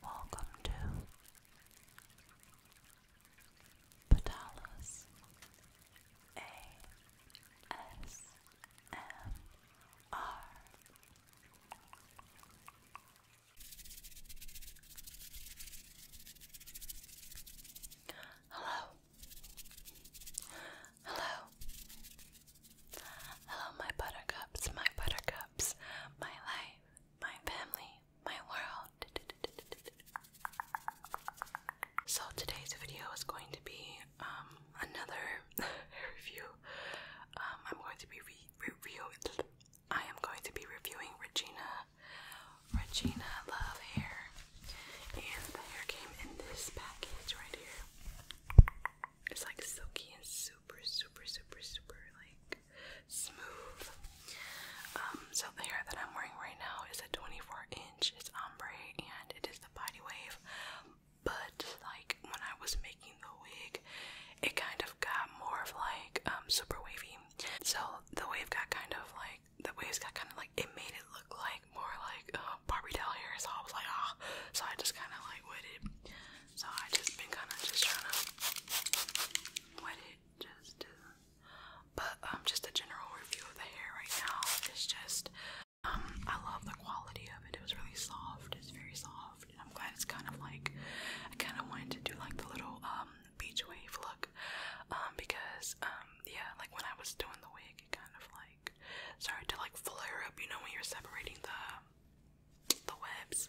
Welcome to Patalas ASMR. Hello. Hello. Hello, my buttercups, my buttercups, my life, my family, my world. So, today's video is going to be um, another review. Um, I'm going to be reviewing. I am going to be reviewing Regina, Regina Love hair, and the hair came in this package right here. It's like silky and super, super, super, super like smooth. Um, so the hair that I'm wearing right now is a 24 inch, it's ombre, and it is the body wave. But like when I was making the wig, it kind of got more of like um, super wavy. So the wave got kind of like the waves got kind of like it made it look like more like uh, Barbie doll hair. So I was like ah. Oh. So I just kind of like with so I just been kind of just trying to wet it just to. But um, just a general review of the hair right now It's just um, I love the quality of it. It was really soft. It's very soft, and I'm glad it's kind of like I kind of wanted to do like the little um beach wave look um because um yeah like when I was doing the wig it kind of like started to like flare up. You know when you're separating the the webs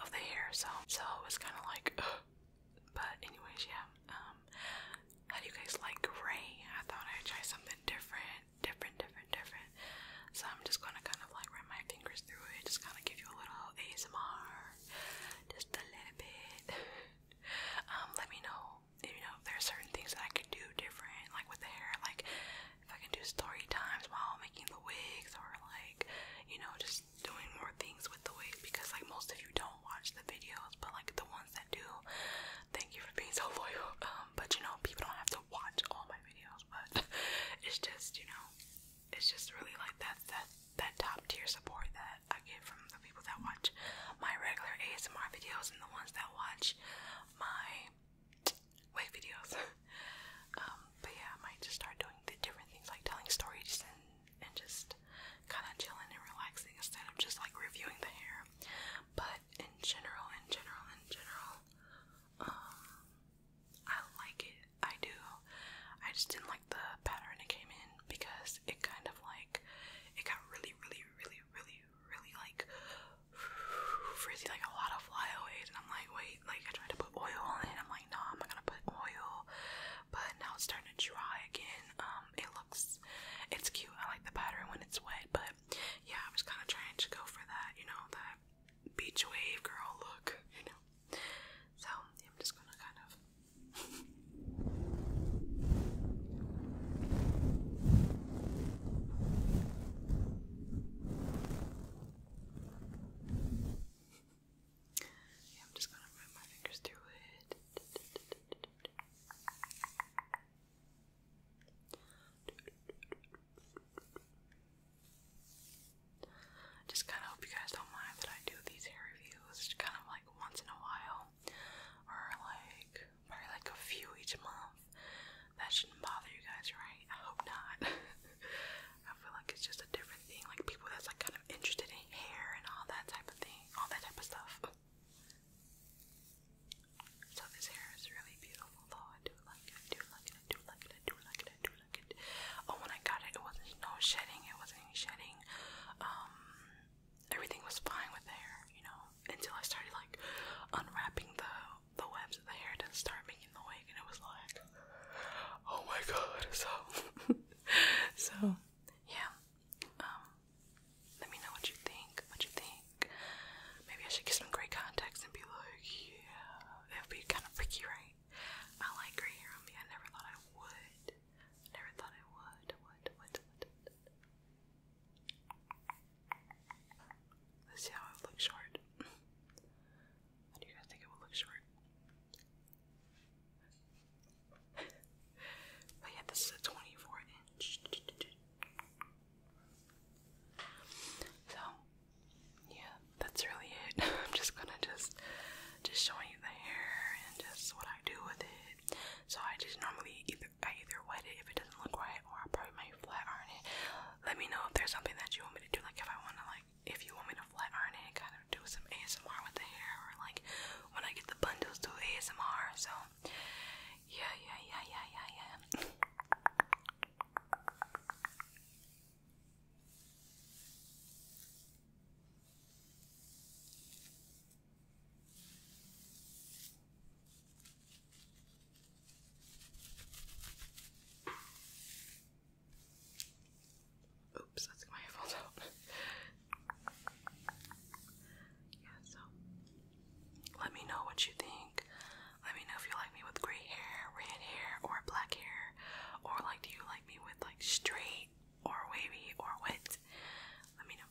of the hair, so so it was kind of like, but anyways, yeah. Um, how do you guys like gray? I thought I'd try something different, different, different, different. So I'm just gonna kind of like run my fingers through it, just kind of give you a little ASMR, just a little bit. um, let me know, you know, if there certain things that I could do different, like with the hair, like if I can do story times while making the wigs or like, you know, just doing more things with the wigs because like most of you don't watch the videos, but like the ones that do, thank you for being so loyal. Um, but you know, people don't have to watch all my videos, but it's just, you know, it's just really like that that that top tier support that I get from the people that watch my regular ASMR videos and the ones that watch my way videos. um, but yeah, I might just start doing the different things like telling stories and and just kind of chilling and relaxing instead of just like reviewing the hair. But in general, in general, in general, um, I like it. I do. I just didn't like the pattern it came in because it kind of like it got really, really, really, really, really like frizzy, like a lot of flyaways, and I'm like, wait oil. Like I tried to put oil on it. I'm like, no, I'm not gonna put oil. But now it's starting to dry again. Um, it looks, it's cute. I like the pattern when it's wet. But yeah, I was kind of trying to go for that, you know, that beach wave girl look, you know. So I'm just gonna kind of. I'm just gonna run my fingers through it. Just kind of hope you guys don't mind that I do these hair reviews kind of like once in a while, or like probably like a few each month. That shouldn't bother you guys, right? I hope not. I feel like it's just a different thing. Like people that's like kind of interested in hair and all that type of thing, all that type of stuff. So this hair is really beautiful I do like it, I do like it, I do like it, I do like it, I do like it. Oh when I it wasn't no shedding, it wasn't any shedding. Um everything was fine with the hair, you know, until I started like unwrapping the the webs in the hair didn't start making the wig, and it was like, oh my god. So, so yeah. Um, let me know what you think. What you think? Maybe I should get some gray contacts and be like, yeah, it'd be kind of picky, right? I like gray hair on me. I never thought I would. Never thought I would. Would would. would. Let's see how it looks short. How do you guys think it would look short? but yeah, this is a 24 inch. So, yeah, that's really it. I'm just gonna just just showing you the hair and just what I do with it. So I just normally either I either wet it if it doesn't look right, or I probably might flat iron it. Let me know if there's something that you want me to do, like if I want to like like if you want me to flat iron it, kind of do some ASMR with the hair, or like when I get the bundles, do ASMR. So yeah, yeah, yeah, yeah, yeah, yeah. Oops, that's my headphones out. yeah, so let me know what you think. Let me know if you like me with gray hair, red hair, or black hair, or like do you like me with like straight or wavy or wet? Let me know.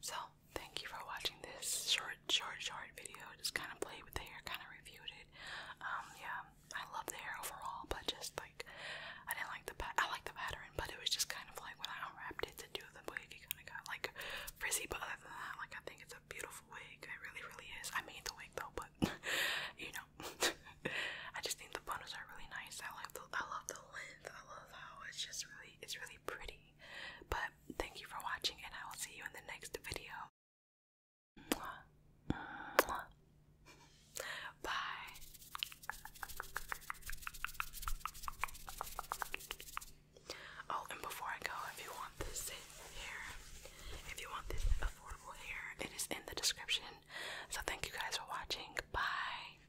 So, thank you for watching this short, short, short video. Just kind of played with the hair, kind of reviewed it. Um, yeah, I love the hair overall, but just like I didn't like the I like the pattern, but it was just kind of like when I unwrapped it to do the wig, it kind of got like frizzy. But other than that, like I think it's a beautiful wig. It really, really is. I made the wig though, but you know, I just think the bundles are really nice. I love the, I love the length. I love how it's just really, it's really pretty. But thank you for watching, and I will see you in the next video. Bye. Oh, and before I go, if you want this hair, if you want this affordable hair, it is in the description. So thank you guys for watching. Bye.